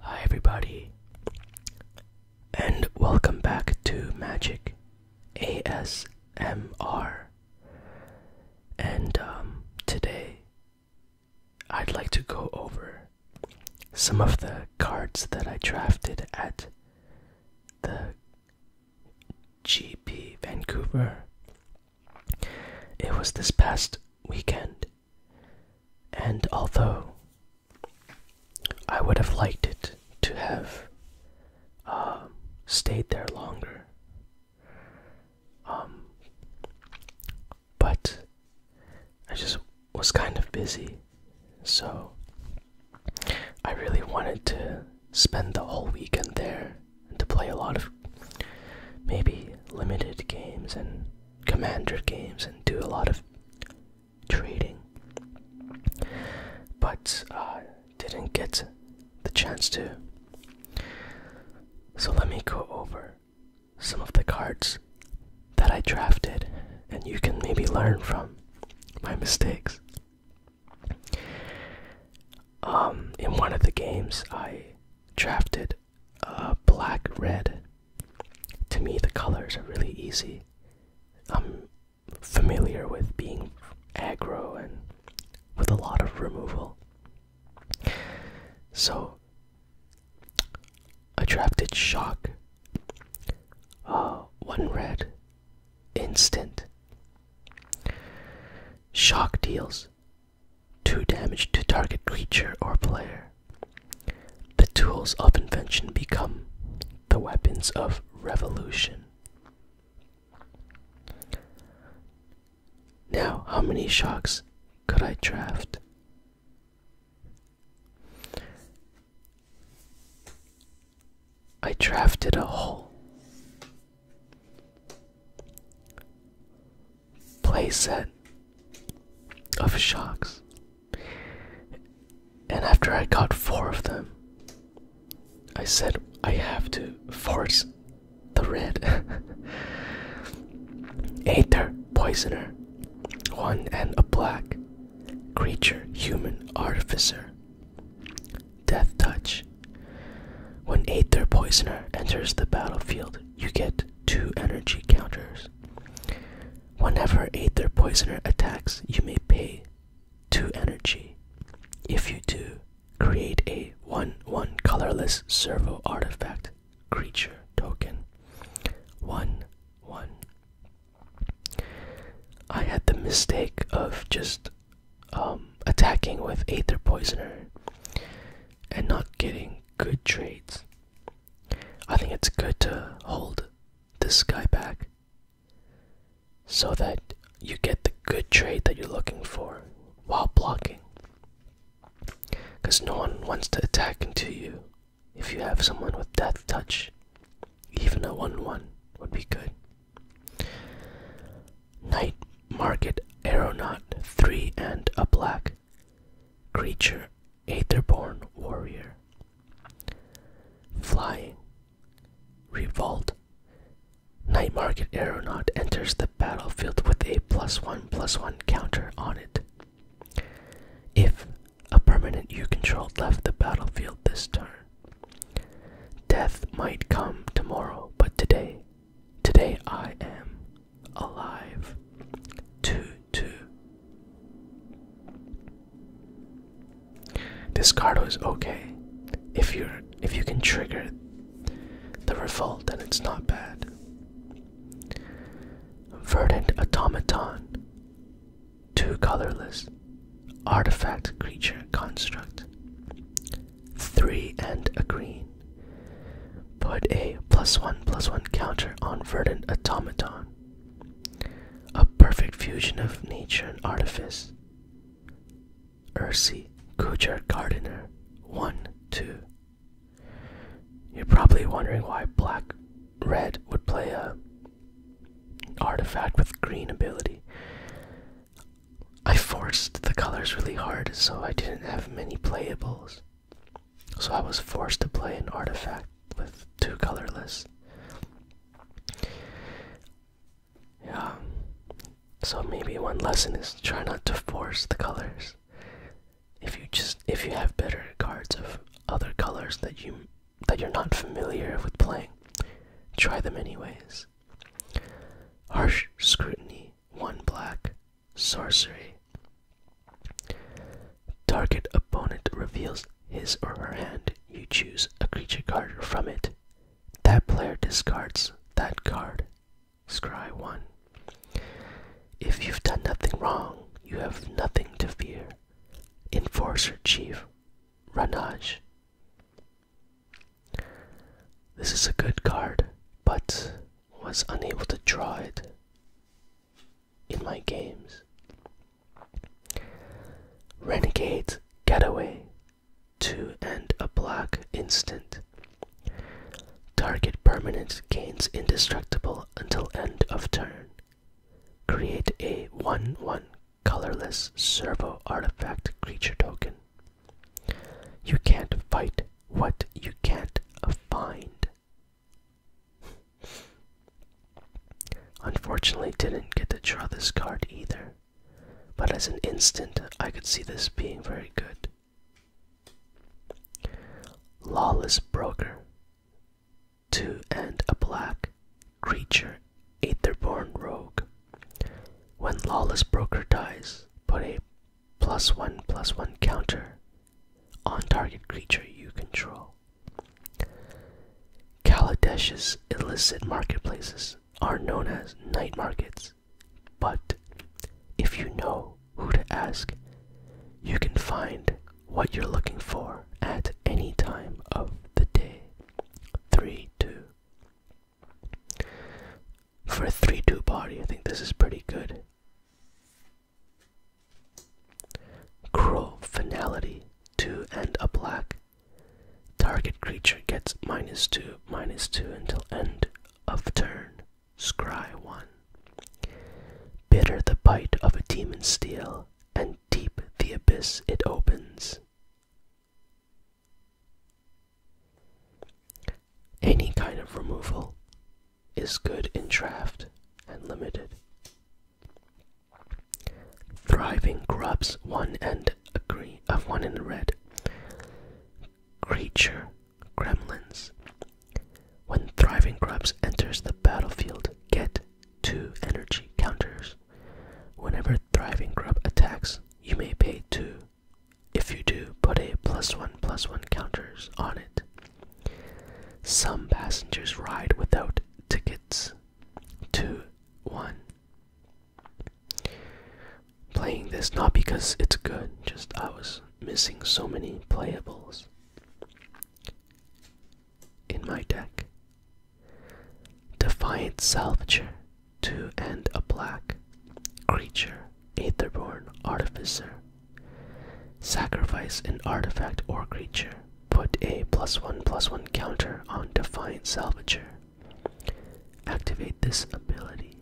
Hi, everybody, and welcome back to Magic ASMR. And um, today I'd like to go over some of the cards that I drafted at the GP Vancouver it was this past weekend, and although I would have liked it to have um, stayed there longer, um, but I just was kind of busy, so I really wanted to spend the whole weekend there to play a lot of maybe limited games and commander games and do a lot of trading, but uh, didn't get the chance to. So let me go over some of the cards that I drafted, and you can maybe learn from my mistakes. Um, in one of the games, I drafted uh, black red. To me, the colors are really easy. I'm familiar with being aggro and with a lot of removal. So, I drafted shock. Uh, one red, instant. Shock deals 2 damage to target creature or player. The tools of invention become the weapons of revolution. Now, how many shocks could I draft? I drafted a whole playset of sharks, And after I got four of them, I said I have to force the red. Aether Poisoner, one and a black creature, human artificer. Death touch. When Aether Poisoner enters the battlefield, you get two energy counters. Whenever Aether Poisoner attacks, you may pay two energy. If you do, create a 1 1 colorless servo artifact creature token. 1 1. I had the mistake of just um, attacking with Aether Poisoner and not getting good trades. I think it's good to hold this guy back so that you get the good trade that you're looking for while blocking. Because no one wants to attack into you if you have someone with death touch. Even a 1 1 would be good. Night Market Aeronaut 3 and a black creature, Aetherborn Warrior. Flying. Revolt. Night Market Aeronaut enters the battlefield with a plus one plus one counter on it. If a permanent you controlled left the battlefield this turn, death might come tomorrow, but today Today I am alive. Two, two. This card was okay. If you if you can trigger the revolt, then it's not bad. Verdant automaton. Two colorless artifact creature construct three and a green. Put a plus one plus one counter on Verdant Automaton. A perfect fusion of nature and artifice. Ursi Kujar Gardener. One, two. You're probably wondering why black red would play a artifact with green ability. I forced the colors really hard, so I didn't have many playables. So I was forced to play an artifact with two colorless. Yeah. So maybe one lesson is try not to force the colors. If you just if you have better cards of other colors that you that you're not familiar with playing, try them anyways. Harsh scrutiny 1 black, sorcery. Target opponent reveals his or her hand. You choose a creature card from it. That player discards that card. Scry 1. If you've done nothing wrong, you have nothing to fear. Enforcer Chief, Ranaj. This is a good card, but was unable to draw it in my games. Renegade Getaway. Two and a black instant. Target permanent gains indestructible until end of turn. Create a 1 1 colorless servo artifact creature token. You can't fight what you can't find. Unfortunately, didn't get to draw this card either, but as an instant, I could see this being very good. Lawless Broker. Two and a black creature, Aetherborn Rogue. When Lawless Broker dies, put a plus one plus one counter on target creature you control. Kaladesh's illicit marketplaces are known as night markets, but if you know who to ask, you can find what you're looking for at any time of the day. 3 2 for a 3 2 party, I think this is pretty good. Crow finality 2 and a black. Target creature gets minus 2, minus 2 until end of turn. Scry 1. Bitter the bite of a demon steel, and deep the abyss it opens. Any kind of removal is good in draft and limited. Thriving grubs one and a green of one in red. Creature gremlins. When thriving grubs enters the battlefield, get two energy counters. Whenever thriving grub attacks, you may pay two if you do, put a plus one plus one counters on it. Some passengers ride without tickets. 2 1. Playing this not because it's good, just I was missing so many playables in my deck. Defiant Salvager to and a black creature, Etherborn artificer. Sacrifice an artifact or creature. Put a plus one plus one counter on Defiant Salvager. Activate this ability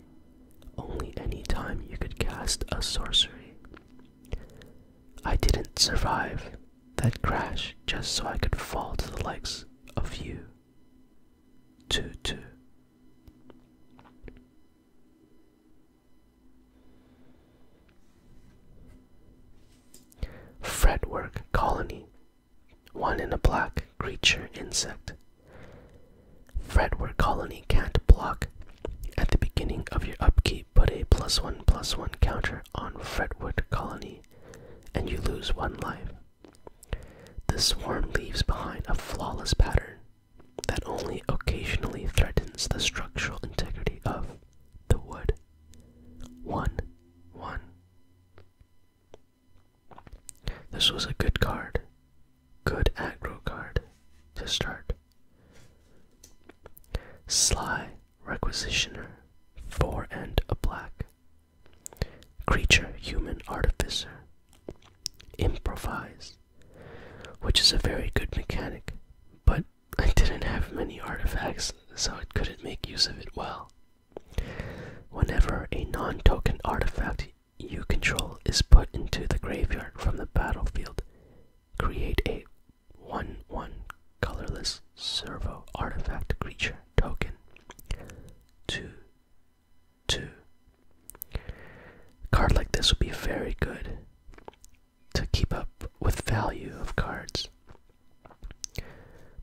only any time you could cast a sorcery. I didn't survive that crash just so I could fall to the likes of you. Fretwork colony one in a black creature insect. Fretwork colony can't block. At the beginning of your upkeep, put a plus one plus one counter on Fretwork colony and you lose one life. The swarm leaves behind a flawless pattern that only occasionally threatens the structural integrity of the wood. 1 1. This was a good card. Good aggro card to start. Sly Requisitioner, 4 and a black. Creature Human Artificer, improvise, which is a very good mechanic, but I didn't have many artifacts, so I couldn't make use of it well. Whenever a non token artifact you control is put into the graveyard from the battlefield, create a 1 1 colorless servo artifact creature token. 2 two. card like this would be very good to keep up with value of cards.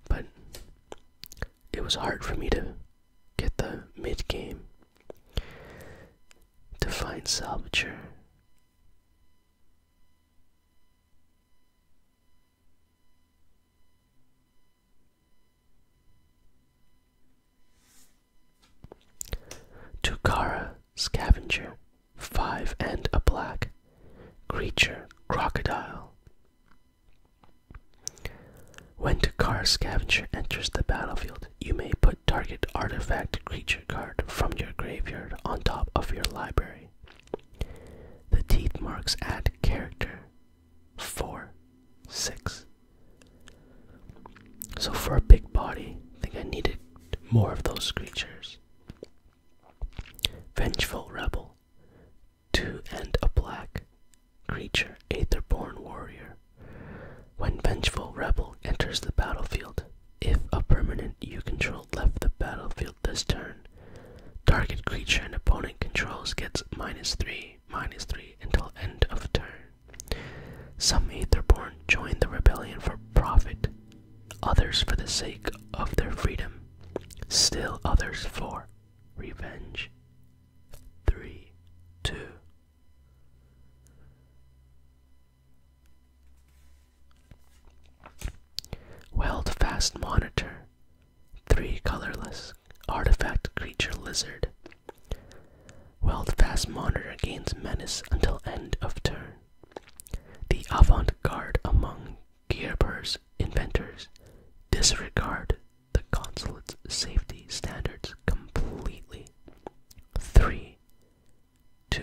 But it was hard for me to get the mid game to find Salvager. Tukara, scavenger, five and a black, creature, crocodile. When Tukara Scavenger enters the battlefield, you may put target artifact creature card from your graveyard on top of your library. The teeth marks add character four, six. So for a big body, I think I needed more of those creatures. Vengeful Rebel, two and a black creature, Aetherborn Warrior. When Vengeful Rebel enters the battlefield, if a permanent you control left the battlefield this turn, target creature an opponent controls gets minus 3, minus 3 until end of turn. Some Aetherborn join the rebellion for profit, others for the sake of their freedom, still others for revenge. 3 2 Weld fast monitor, three colorless artifact creature lizard. Wild fast monitor gains menace until end of turn. The avant-garde among Gearbur's inventors disregard the consulate's safety standards completely. Three, two.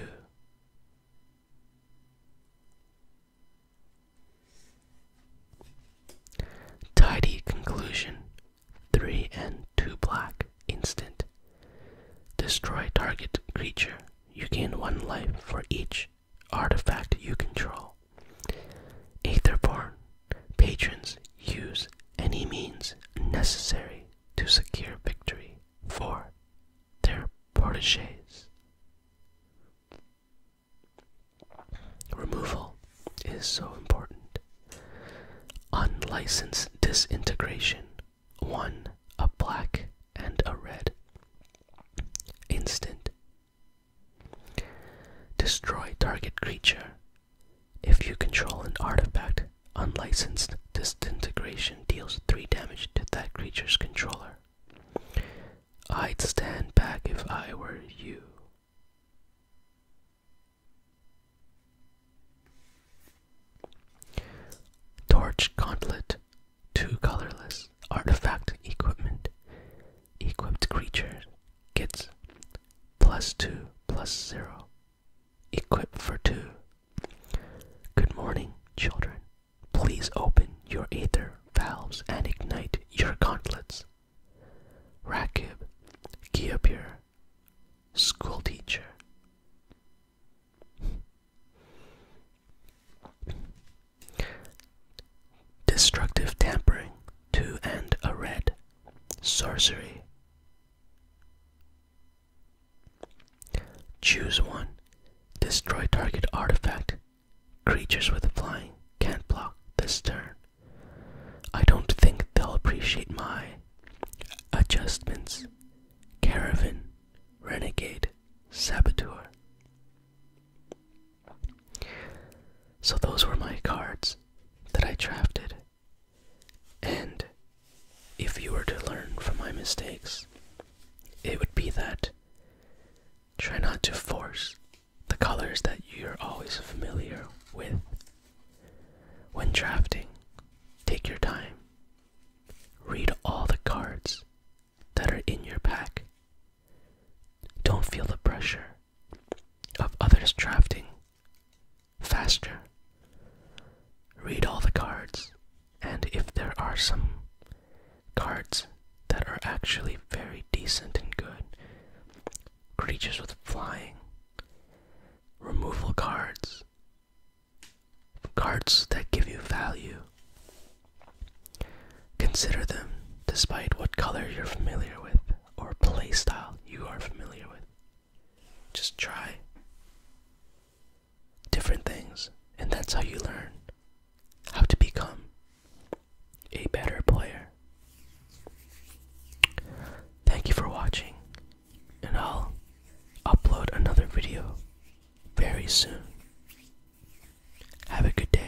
Tidy conclusion 3 and 2 black, instant. Destroy target creature. You gain 1 life for each artifact you control. Etherborn Patrons use any means necessary to secure victory for their proteges. Removal is so important. Unlicensed disintegration. One, a black and a red. Instant. Destroy target creature. If you control an artifact, unlicensed disintegration deals 3 damage to that creature's controller. I'd stand back if I were you. Torch Gauntlet. Two colorless artifact equipment. Equipped creature gets plus two plus zero. Equip for two. Good morning, children. Please open your aether valves and ignite your gauntlets. Rakib, Geopure, school teacher. Destructive tampering Two and a red. Sorcery. Choose one. Destroy target artifact. Creatures with flying can't block this turn. I don't think they'll appreciate my adjustments. Caravan, renegade, saboteur. So those were my cards that I drafted. And if you were to learn from my mistakes, it would be that try not to force the colors that you're always familiar with when drafting, take your time. Read all the cards that are in your pack. Don't feel the pressure of others drafting faster. Read all the cards, and if there are some cards that are actually very decent and good, creatures with flying, removal cards, cards that give you value. Consider them despite what color you're familiar with or play style you are familiar with. Just try different things, and that's how you learn how to become a better player. Thank you for watching, and I'll upload another video very soon. Have a good day.